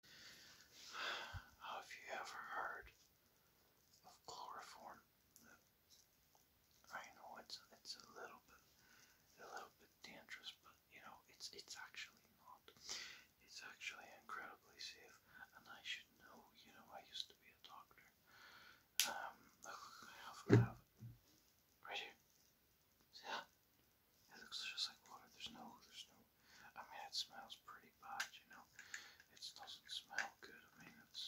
Have you ever heard of chloroform? I know it's it's a little bit a little bit dangerous, but you know it's it's actually not. It's actually incredibly safe, and I should know. You know, I used to be a doctor. Um, look, I have, I have right here. See that? It looks just like water. There's no, there's no. I mean, it smells pretty bad, you know. It doesn't smell good. I mean, it's,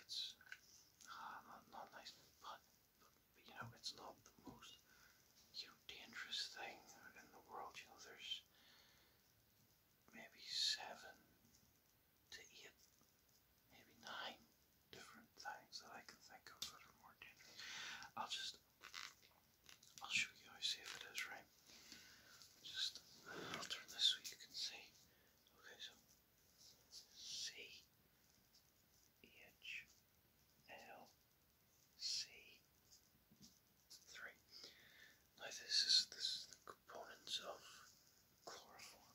it's uh, not not nice, but, but you know, it's not the most you know dangerous thing in the world. You know, there's maybe seven to eight, maybe nine different things that I can think of that are more dangerous. I'll just I'll show you how safe it is, right? Just, I'll turn this so you can see. Okay, so C H L C three. Now this is this is the components of chloroform.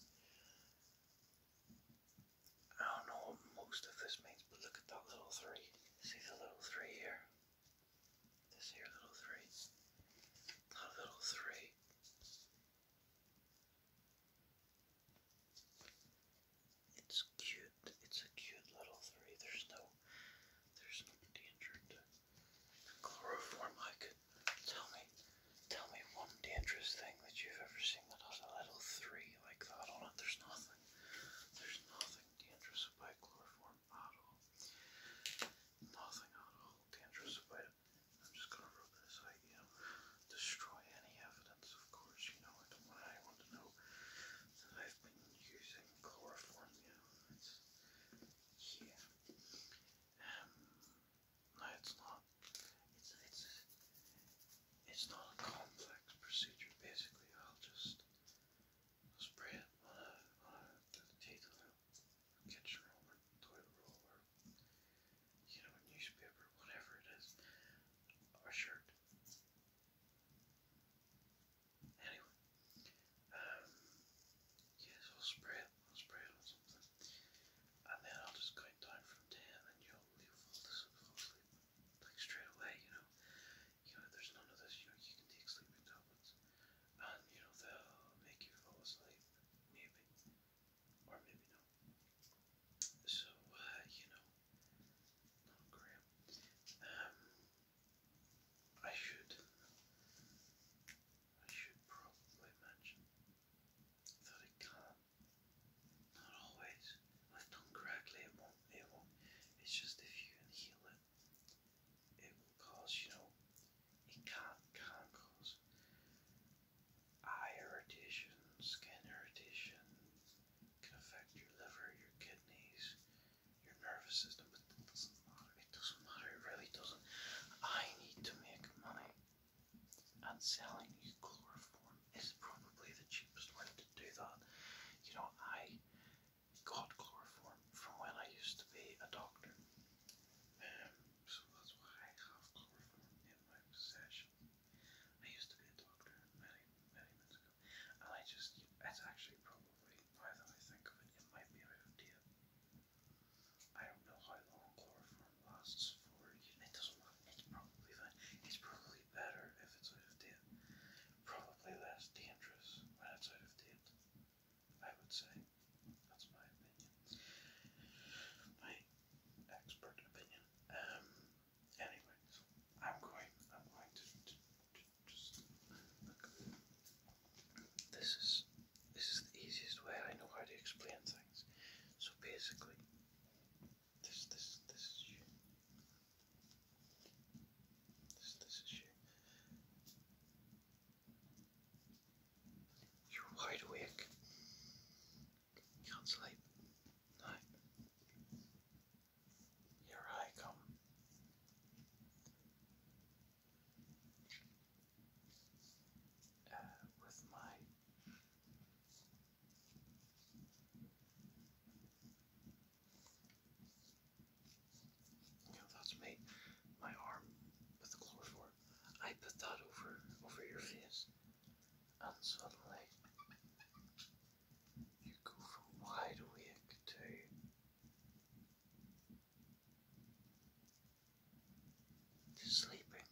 I don't know what most of this may look at that little three. See the little three here? This here little three. That little three. It's cute. It's a cute little three. There's no there's no danger to chloroform. I tell me tell me one dangerous thing that you've ever seen that has a little three like that on it. There's nothing. There's nothing dangerous about chloroform at all. Nothing at all dangerous about it. I'm just going to rub this out, destroy any evidence, of course, you know, I want to know that I've been using chloroform, you it's, yeah. Um, no, it's not. It's, it's, it's not a complex procedure. Basically, I'll just spray it on a, on a through the kitchen roller, toilet roller, you know, newspaper, whatever it is, a shirt. Anyway, um, yes, I'll spray it. I'll spray it on something, and then I'll just count down from ten, and you'll fall asleep like straight away, you know. You know, there's none of this, you know, you can take sleeping tablets. you know, they'll make you fall asleep. Maybe. Or maybe not. So, uh, you know, not great. Um I should I should probably mention that I can not always. If done correctly, it won't. It won't. It's just if you can heal it, it will cause. You know, it can can cause eye irritation, skin irritation. can affect your liver, your kidneys, your nervous system. But it doesn't matter. It doesn't matter. It really doesn't. I need to make money. And selling chloroform one is probably the cheapest way to do that. You know, I got chloroform from when I used to be a doctor, um, so that's why I have chloroform in my possession. I used to be a doctor many, many months ago, and I just, it's actually probably, now that I think of it, it might be out of date. I don't know how long chloroform lasts for. It doesn't. It's probably fine. It's probably better if it's out of date. Probably less dangerous when it's of date, I would say. That's my opinion. My expert opinion. Um anyways, I'm going I'm going to just look. This is this is the easiest way I know how to explain things. So basically this, this, this is you. This, this is you. You're wide awake. Can't sleep. No. Here I come. Uh, with my that's my my arm with the chloroform. I put that over over your face, and suddenly you go from wide awake to sleeping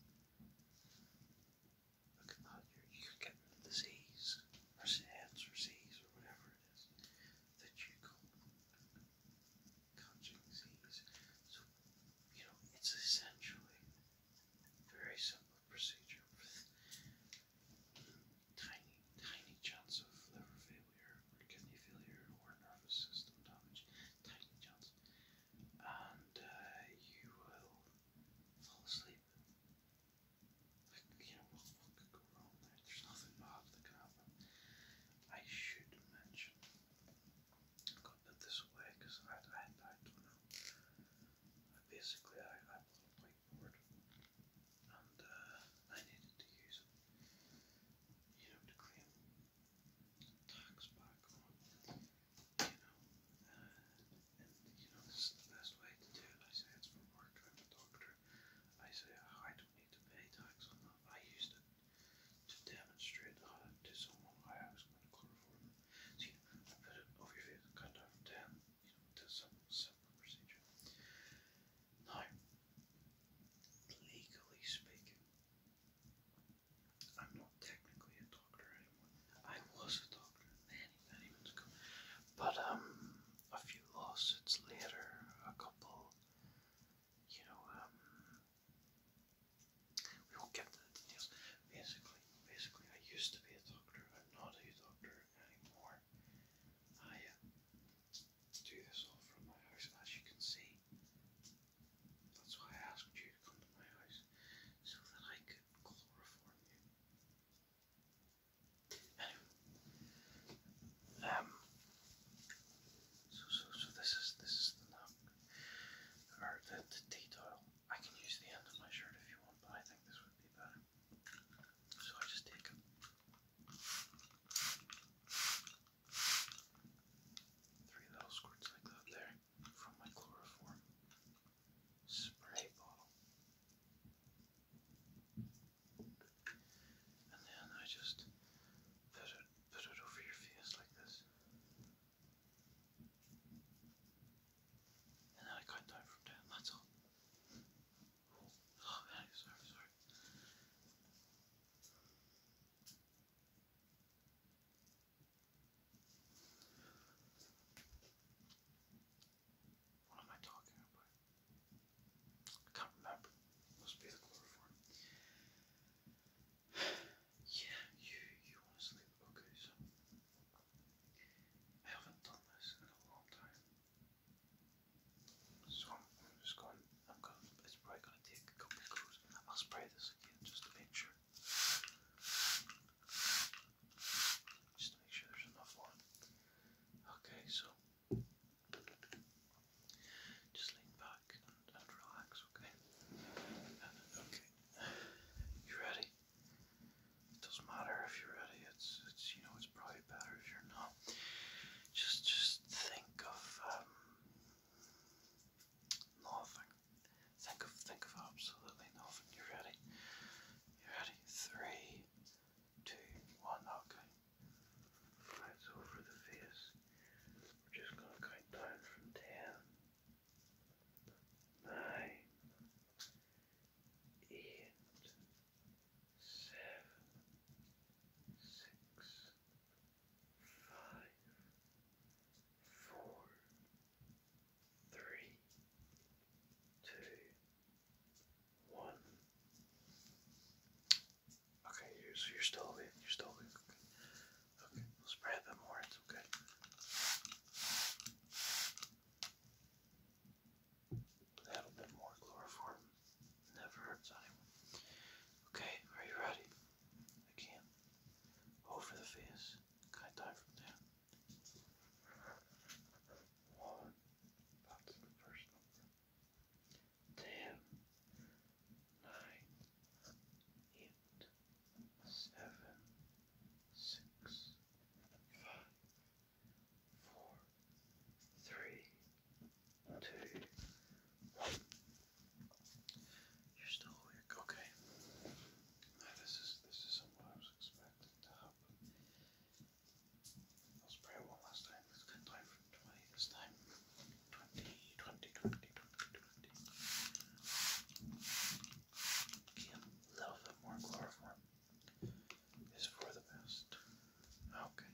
you're, you the disease, or SAIDS, or or whatever it is that you call catching disease. So, you know, it's essentially a very simple procedure with tiny, tiny chance of liver failure, or kidney failure, or nervous system damage, tiny chance and uh, you will fall asleep. you know, what, what could go wrong There's nothing bad that can happen. I should mention, i got to this away because I, I, basically, I, I bought a whiteboard and uh, I needed to use it, you know, to claim talks back on, you know, and you know, this is the best way to do it. I say it's from work, i a doctor. I say oh, I don't need to pay tax on that. I used it to demonstrate to someone I was going to chloroform them. I put it over your face, cut down from 10, some simple procedure. Now, legally speaking, I'm not technically a doctor anymore. I was a doctor many, many months ago. But um, a few lawsuits later, a couple, you know, um, we will get the details. Basically, basically, I used to be a doctor. I'm not a doctor anymore. I uh, do this all from my house, as you can see. That's why I asked you to come to my house, so that I could chloroform you. Anyway, um, so so so this is this is the nap or the, detail. I can use the end of my shirt if you want, but I think this would be better. So I just take Three little squirts like that there from my chloroform spray bottle. And then I just put it put it over your face like this. And then I cut down from ten. That's all. Oh sorry, sorry. What am I talking about? I can't remember. Must be the chloroform. yeah, you you want to sleep? Okay, so I haven't done this in a long time, so I'm just going I'm gonna, it's probably gonna take a couple of goes. I'll spray this again just to make sure. Just to make sure there's enough on. Okay, so just lean back and, relax, okay? Okay. You ready? It doesn't matter if you're ready, it's it's you know it's probably better if you're not. Just just think of um, Nothing. Think of think of absolutely nothing. You ready? You ready? Three, two, one, okay. Right, so the face, we're just gonna count down from ten. Nine, five, four, three, two, one. Okay, you're, so you're still awake. You're still awake. Okay, okay. we'll spray a bit more. It's okay. A bit more chloroform. Never hurts anyone. Okay, are you ready? I can. the face. Can I die from there? One. That's the first number. Ten two, You're still awake, okay. this is this is something I was expecting to happen. Let's pray one last time. Let's count down twenty this time. 20, a little bit more chloroform is for the best. Okay.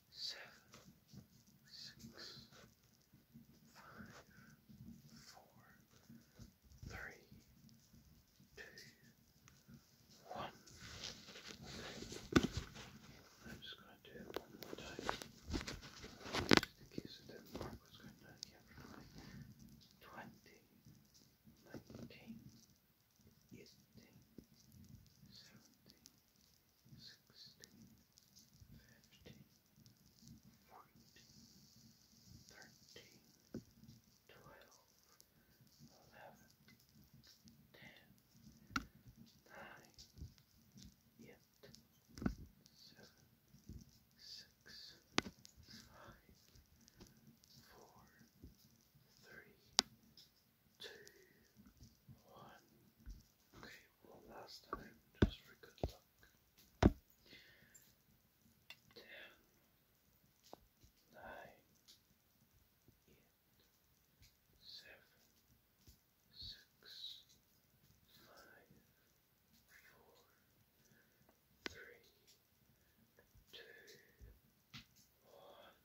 seven, six, five, four, three, two, one. Okay. I'm just going to do it one more time. Just in case it didn't work, what's going down here from 20, eighteen, seventeen, sixteen, fifteen, fourteen, thirteen, twelve, eleven, ten, nine, eight, seven, six, five, four, three, two, one. Okay, one last time, just for good luck. Ten, nine, eight, seven, six, five, four, three, two, one.